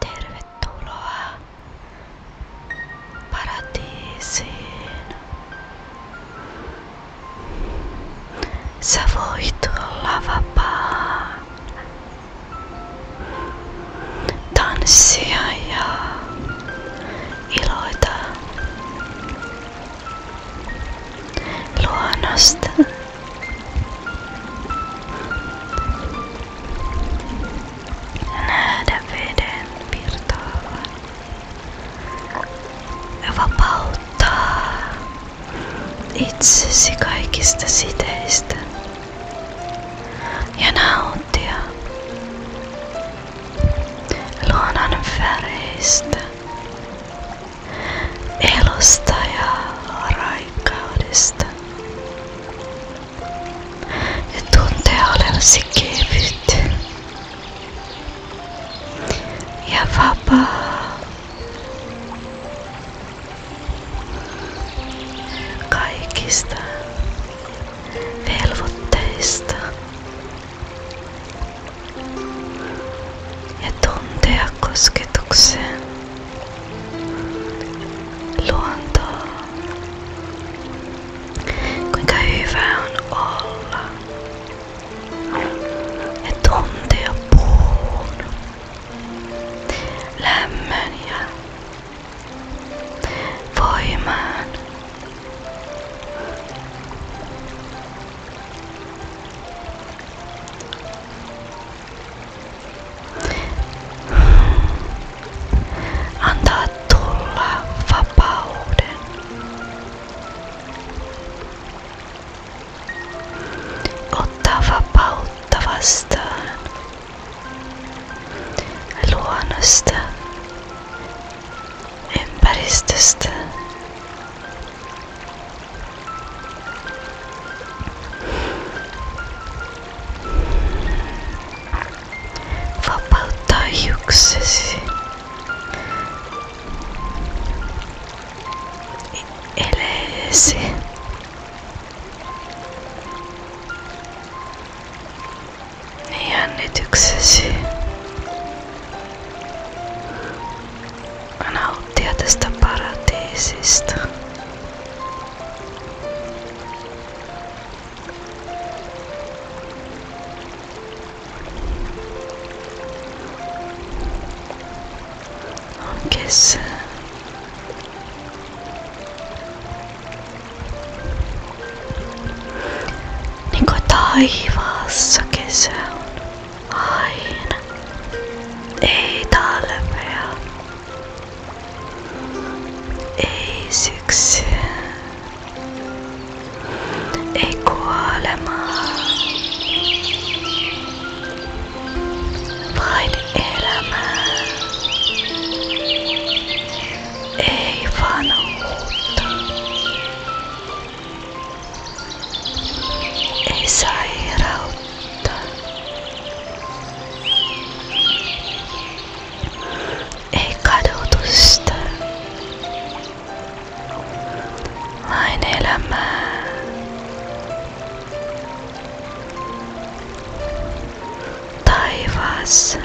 Tervetuloa paratiisiin. Sä voit olla Tanssia ja iloita luonnosta nähdä veden virtaavan ja vapauttaa itsesi kaikista siteistä ja nauttia luonnon väreistä elustajaa raikkaudesta. Ja tuntee olevasi kevyt ja vapaa. Kaikista velvoitteista ja tuntea kosketuksen, luontoa, kuinka hyvä on olla ja tuntea puun, lämmön ja voimaan. Antaa tulla vapauden. Ottaa vapautta vastaan. Luonnosta, ympäristöstä Vapauttaa hiuksesi. Eleesi. Niin jännityksesi ja nauttia tästä paratiisista. On kesä. Niin kuin aina. Ei talvea, ei syksyä, ei kuolemaa, vain elämää, ei vanhuutta, ei sairautta, ei kadotusta, vain elämää. Taivas.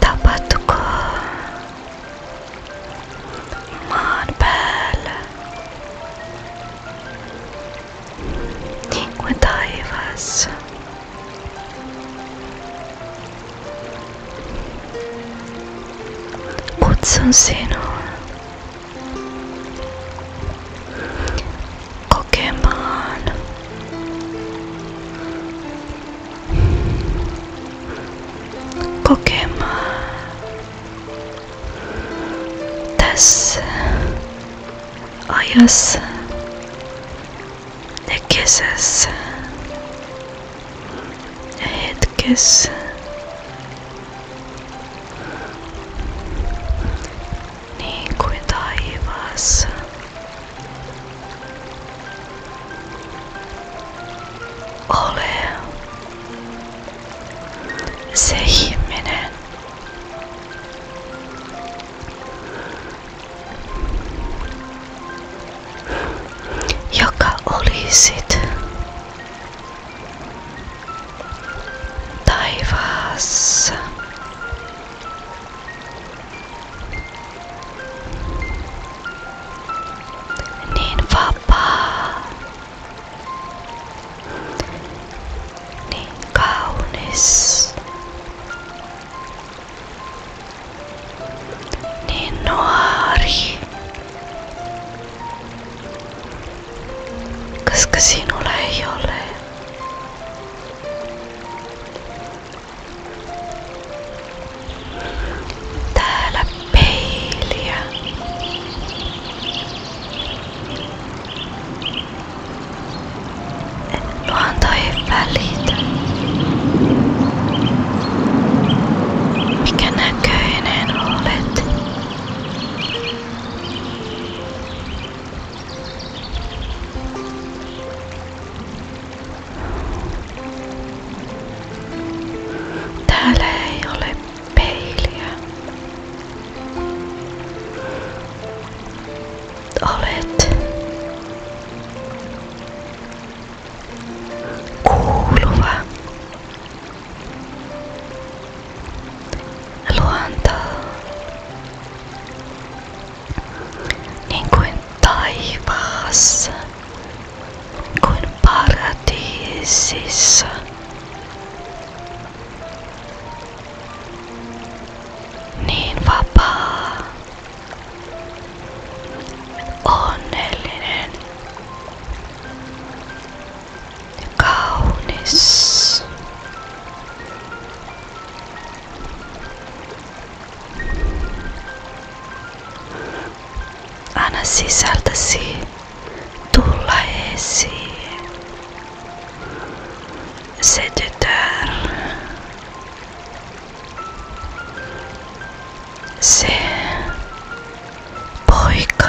Tapahtukoon Maan päällä. Niin kuin taivaassa. Kutsun sinua kokemaan kokemaan tässä ajassa ja kesässä ja hetkessä. Niin kuin taivaassa. Ole se ihminen. Joka olisit taivaassa. Niin vapaa. Niin kaunis. Niin nuori. Koska sinulla ei ole Täällä peiliä. Luonto ei välitä. Mikä näköinen olet? Täällä ei Olet kuuluva luontoon niin kuin taivaassa. kuin paratiisissa. Niin vapaa, onnellinen, Anna sisältäsi tulla esiin. Se tytär. Se poika.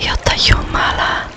Jotta Jumala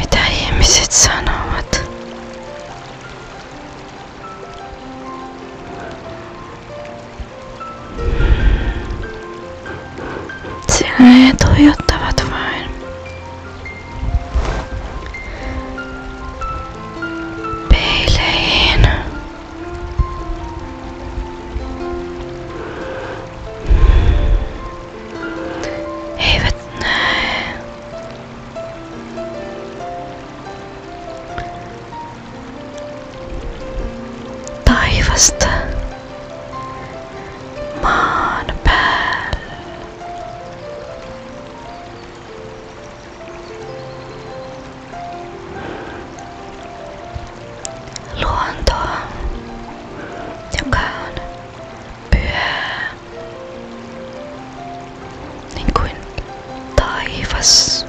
mitä ihmiset sanovat. Sillä he tuijottavat vain. Peileihin. He eivät näe. Taivasta maan päällä luontoa, joka on pyhää, niin kuin taivas.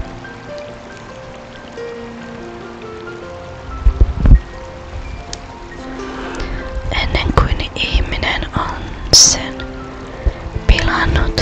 Ennen kuin ihminen on sen pilannut,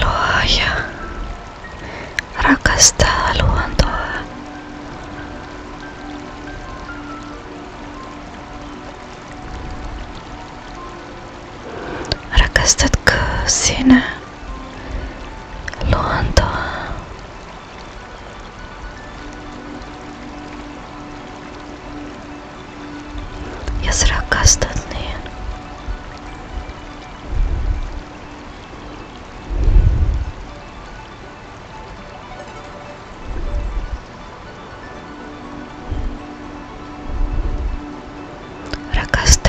Luoja, rakastaa luontoa. Rakastatko sinä? luontoa. Jos rakastat, niin rakasta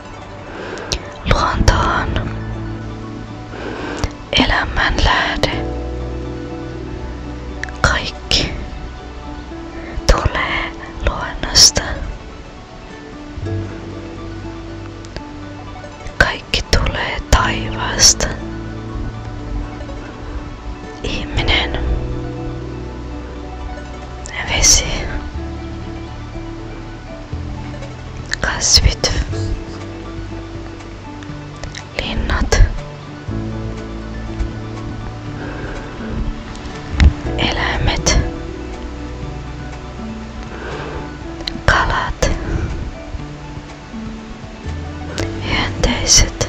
Luonto on elämän lähde. Kaikki tulee luonnosta. Kaikki tulee taivaasta. Ihminen, vesi, kasvit, linnat, eläimet, kalat, hyönteiset,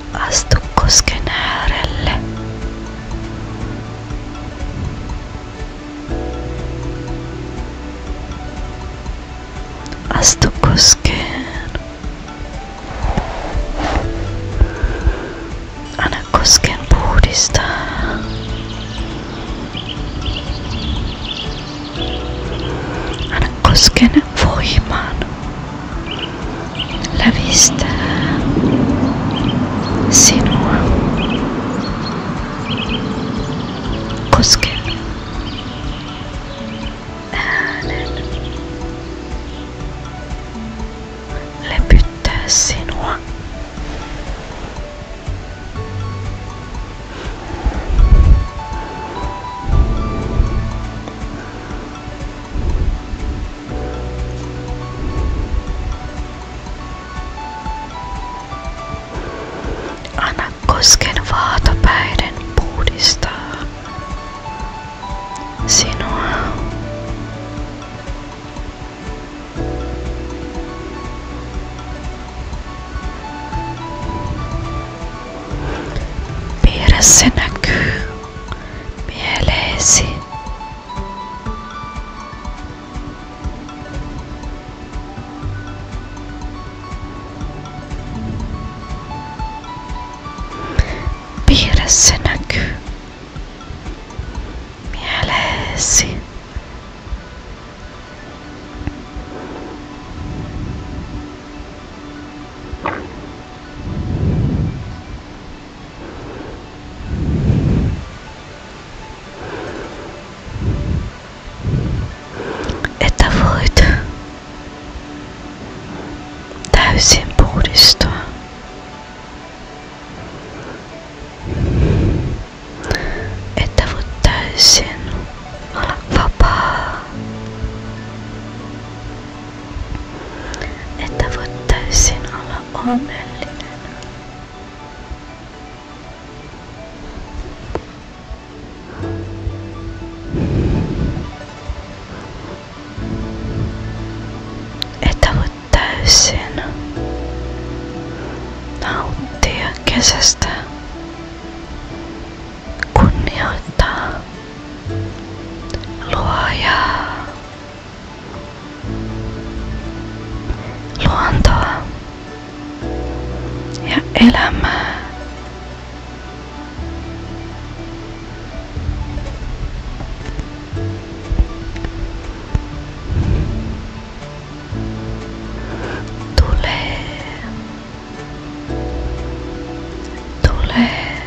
Astu kosken äärelle. Astu koskeen. Anna kosken puhdistaa. Anna kosken voimaan la vista sinua kosken äänen lepyttää sinua. Anna kosken vaatapäiden puhdistaa sinua. Vieressä näkyy mieleesi. Piirissä näkyy mieleesi. Että voit täysin puhdistua. Että voit täysin olla vapaa että voit täysin olla onnellinen. Että voit täysin nauttia kesästä, kunnioittaa luojaa luontoa ja elämää. Tulee, tulee,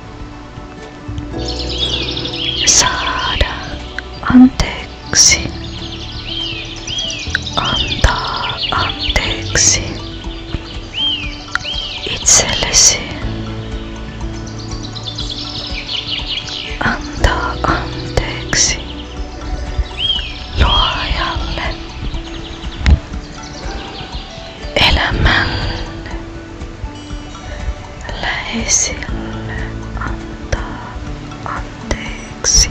saada anteeksi, antaa anteeksi itsellesi, antaa anteeksi luojalle elämän läheisille antaa anteeksi.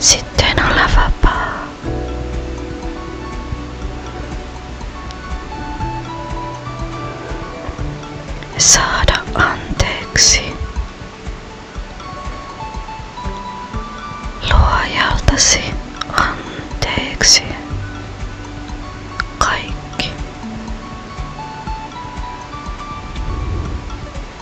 Sitten olla vapaa. Saada anteeksi luojaltasi anteeksi kaikki.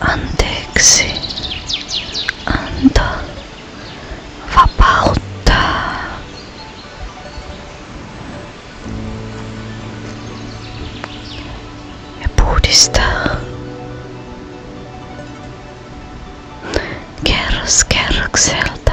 Anteeksi anta vapauttaa. Ja puhdistaa. Kerros kerrokselta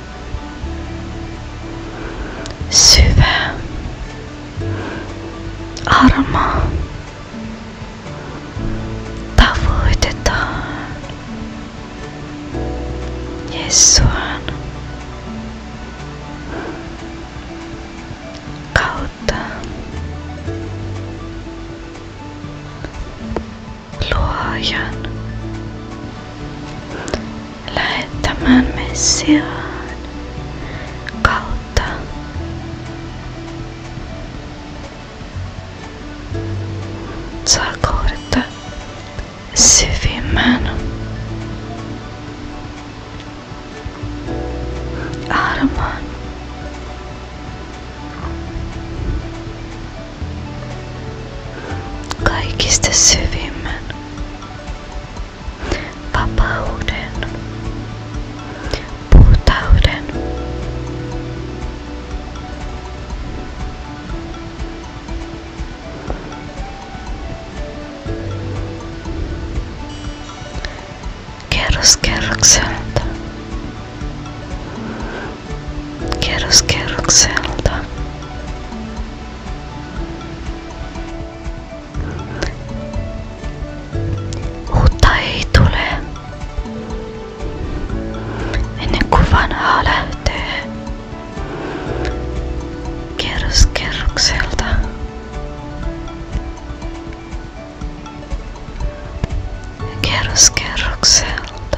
syvä, arma. Tavoitetaan Jesuan kautta luojan lähettämään Messiaan kautta. Saa kohdata armon. Kaikista syvimmän vapauden, puhtauden. Kerros kerrokselta. Kerros kerrokselta. Uutta ei tule. Ennen kuin vanhaa lähtee kerros kerrokselta. Kerros kerrokselta.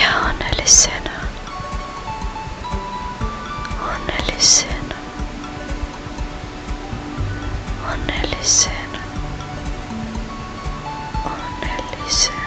Ja onnellisena. Onnellisena. Onnellisena. Onnellisena. Onnellisena.